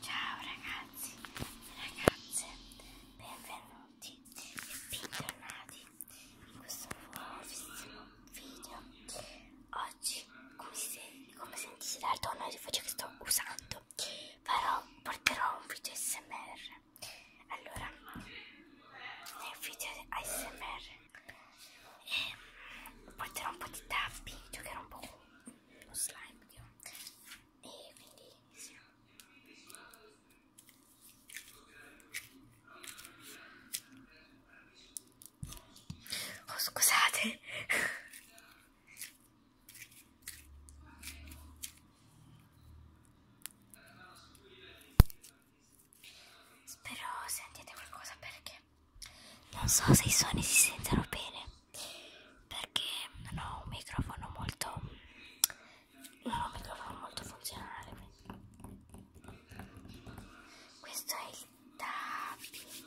Ciao ragazzi, ragazze, benvenuti e bentornati in questo nuovissimo video. Oggi, come, se, come sentite dal tono di voce che sto usando, farò, porterò un video ASMR. Allora, nel video ASMR eh, porterò un po' di tapping, giocherò un po' con lo slime. Io e quindi sì. Oh, scusate. Spero sentite qualcosa perché non so se i suoni si sentono bene perché non ho un microfono molto non ho un microfono molto funzionale questo è il tappi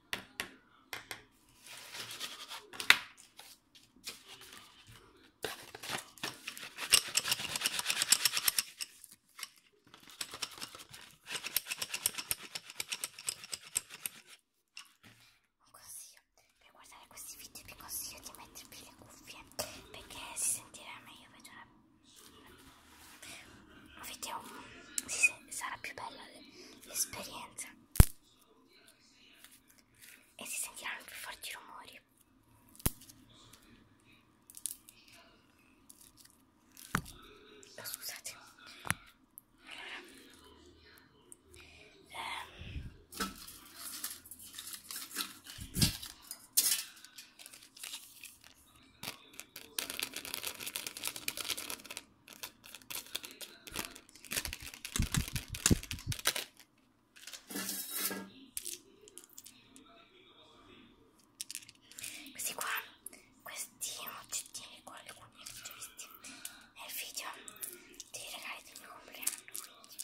Un consiglio per guardare questi video vi consiglio di mettervi le cuffie perché si sentirà meglio vedrà, vedrà, si, sarà più bella l'esperienza e si sentiranno più forti rumori. Oh, scusate. Allora, ehm, questi qua, questi oggettini qua, alcuni li ho visti nel video dei regali del mio compleanno. Quindi.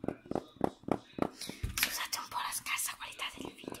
Scusate un poco la escasa calidad del video.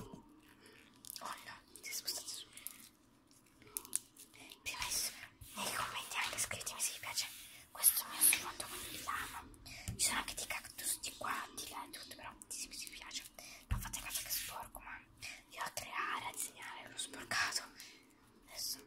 Oh no, ti spostate su. Permesso, nei commenti anche scrivetemi se vi piace questo mio sfondo con il lama. Ci sono anche dei cactus di qua, di là e tutto, però ditemi se vi piace. Non fate caso che sporco, ma io ho tre aree a disegnare, l'ho sporcato. Adesso...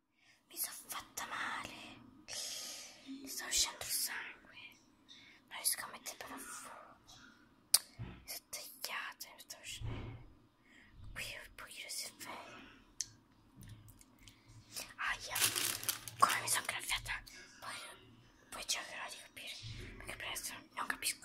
Mi sono fatta male. Mi sta uscendo il sangue. Non riesco a mettere per fuoco. Mi sono tagliata. Mi sta uscendo. Qui il buio si è fermo. Aia. Come mi sono graffiata. Poi, poi cercherò di capire. Perché presto non capisco.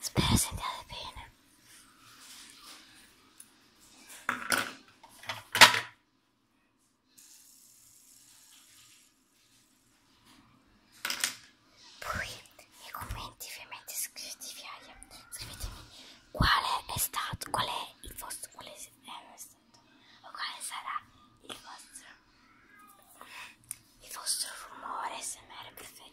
Spero sentiate bene. Poi nei commenti ovviamente scrivete via, scrivetemi quale è stato, qual è il vostro, qual eh, è, stato, o quale sarà il vostro, il vostro rumore SMR preferito.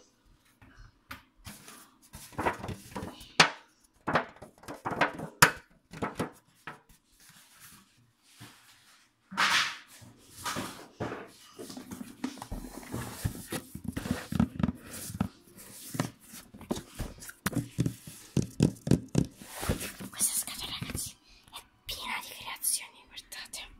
Questa scatola ragazzi è piena di creazioni, guardate.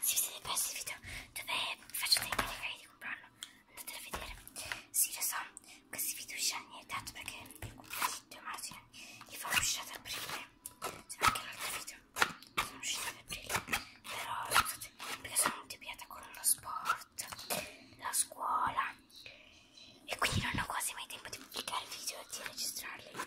Si siete persi il video dove faccio dei video di comprarlo Potete vedere. Sì, lo so, questi video usciranno tanto perché il video marzo li fa uscire ad aprile. Se anche l'altro video sono usciti ad aprile. Però scusate, perché sono multiplicata con lo sport, la scuola. E quindi non ho quasi mai tempo di pubblicare video e di registrarli.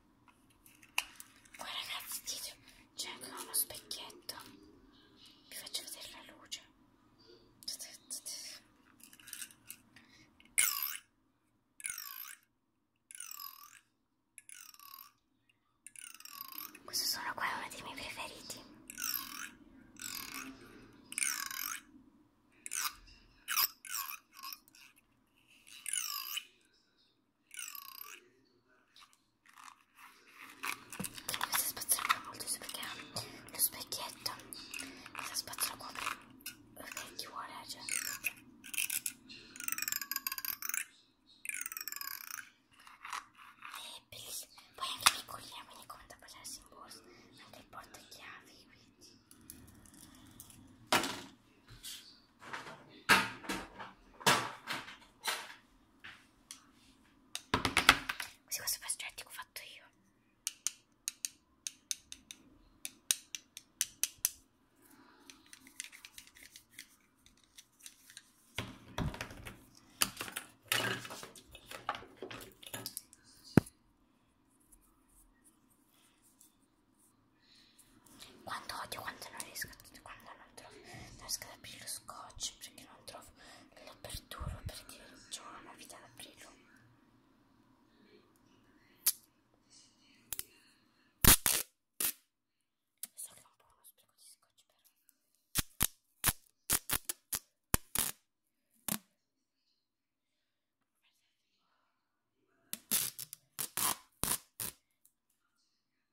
Qua ragazzi dietro c'è anche uno specchietto. Vi faccio vedere la luce. Questo sono qua uno dei miei preferiti. Questa spazzola qua molto uso perché ha lo specchietto. Questa spazzola qua per eh, chi vuole, eh, cioè. È eh, bellissimo. Poi anche piccolina, quindi come da passarsi in borsa. Anche il portachiavi, quindi. Così questo progetto che ho fatto io. Quanto odio quando non riesco, quando non trovo, non riesco ad aprire lo scotch perché non trovo l'apertura perché ho una vita ad aprirlo. So che è un po' uno spreco di scotch però. Guardate.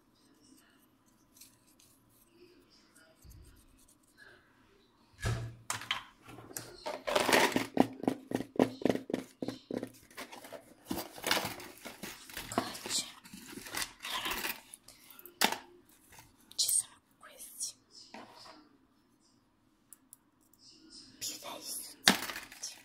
Codice. Allora, ci sono questi più dai sostanti.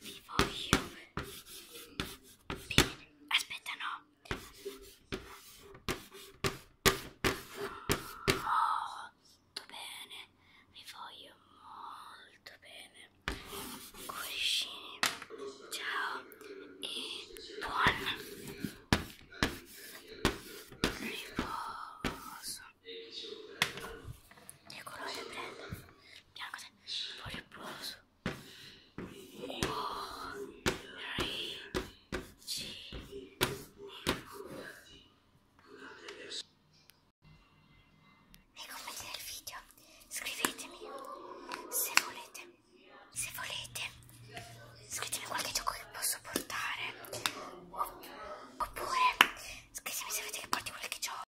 vi voglio bene aspetta no molto bene vi voglio molto bene cuoricini ciao e buon riposo e colore prendo Andiamo così. Fuori il polso. 1, 3, 5. Nei commenti del video scrivetemi se volete, se volete, scrivetemi qualche gioco che posso portare. Oppure scrivetemi se volete che porti qualche gioco.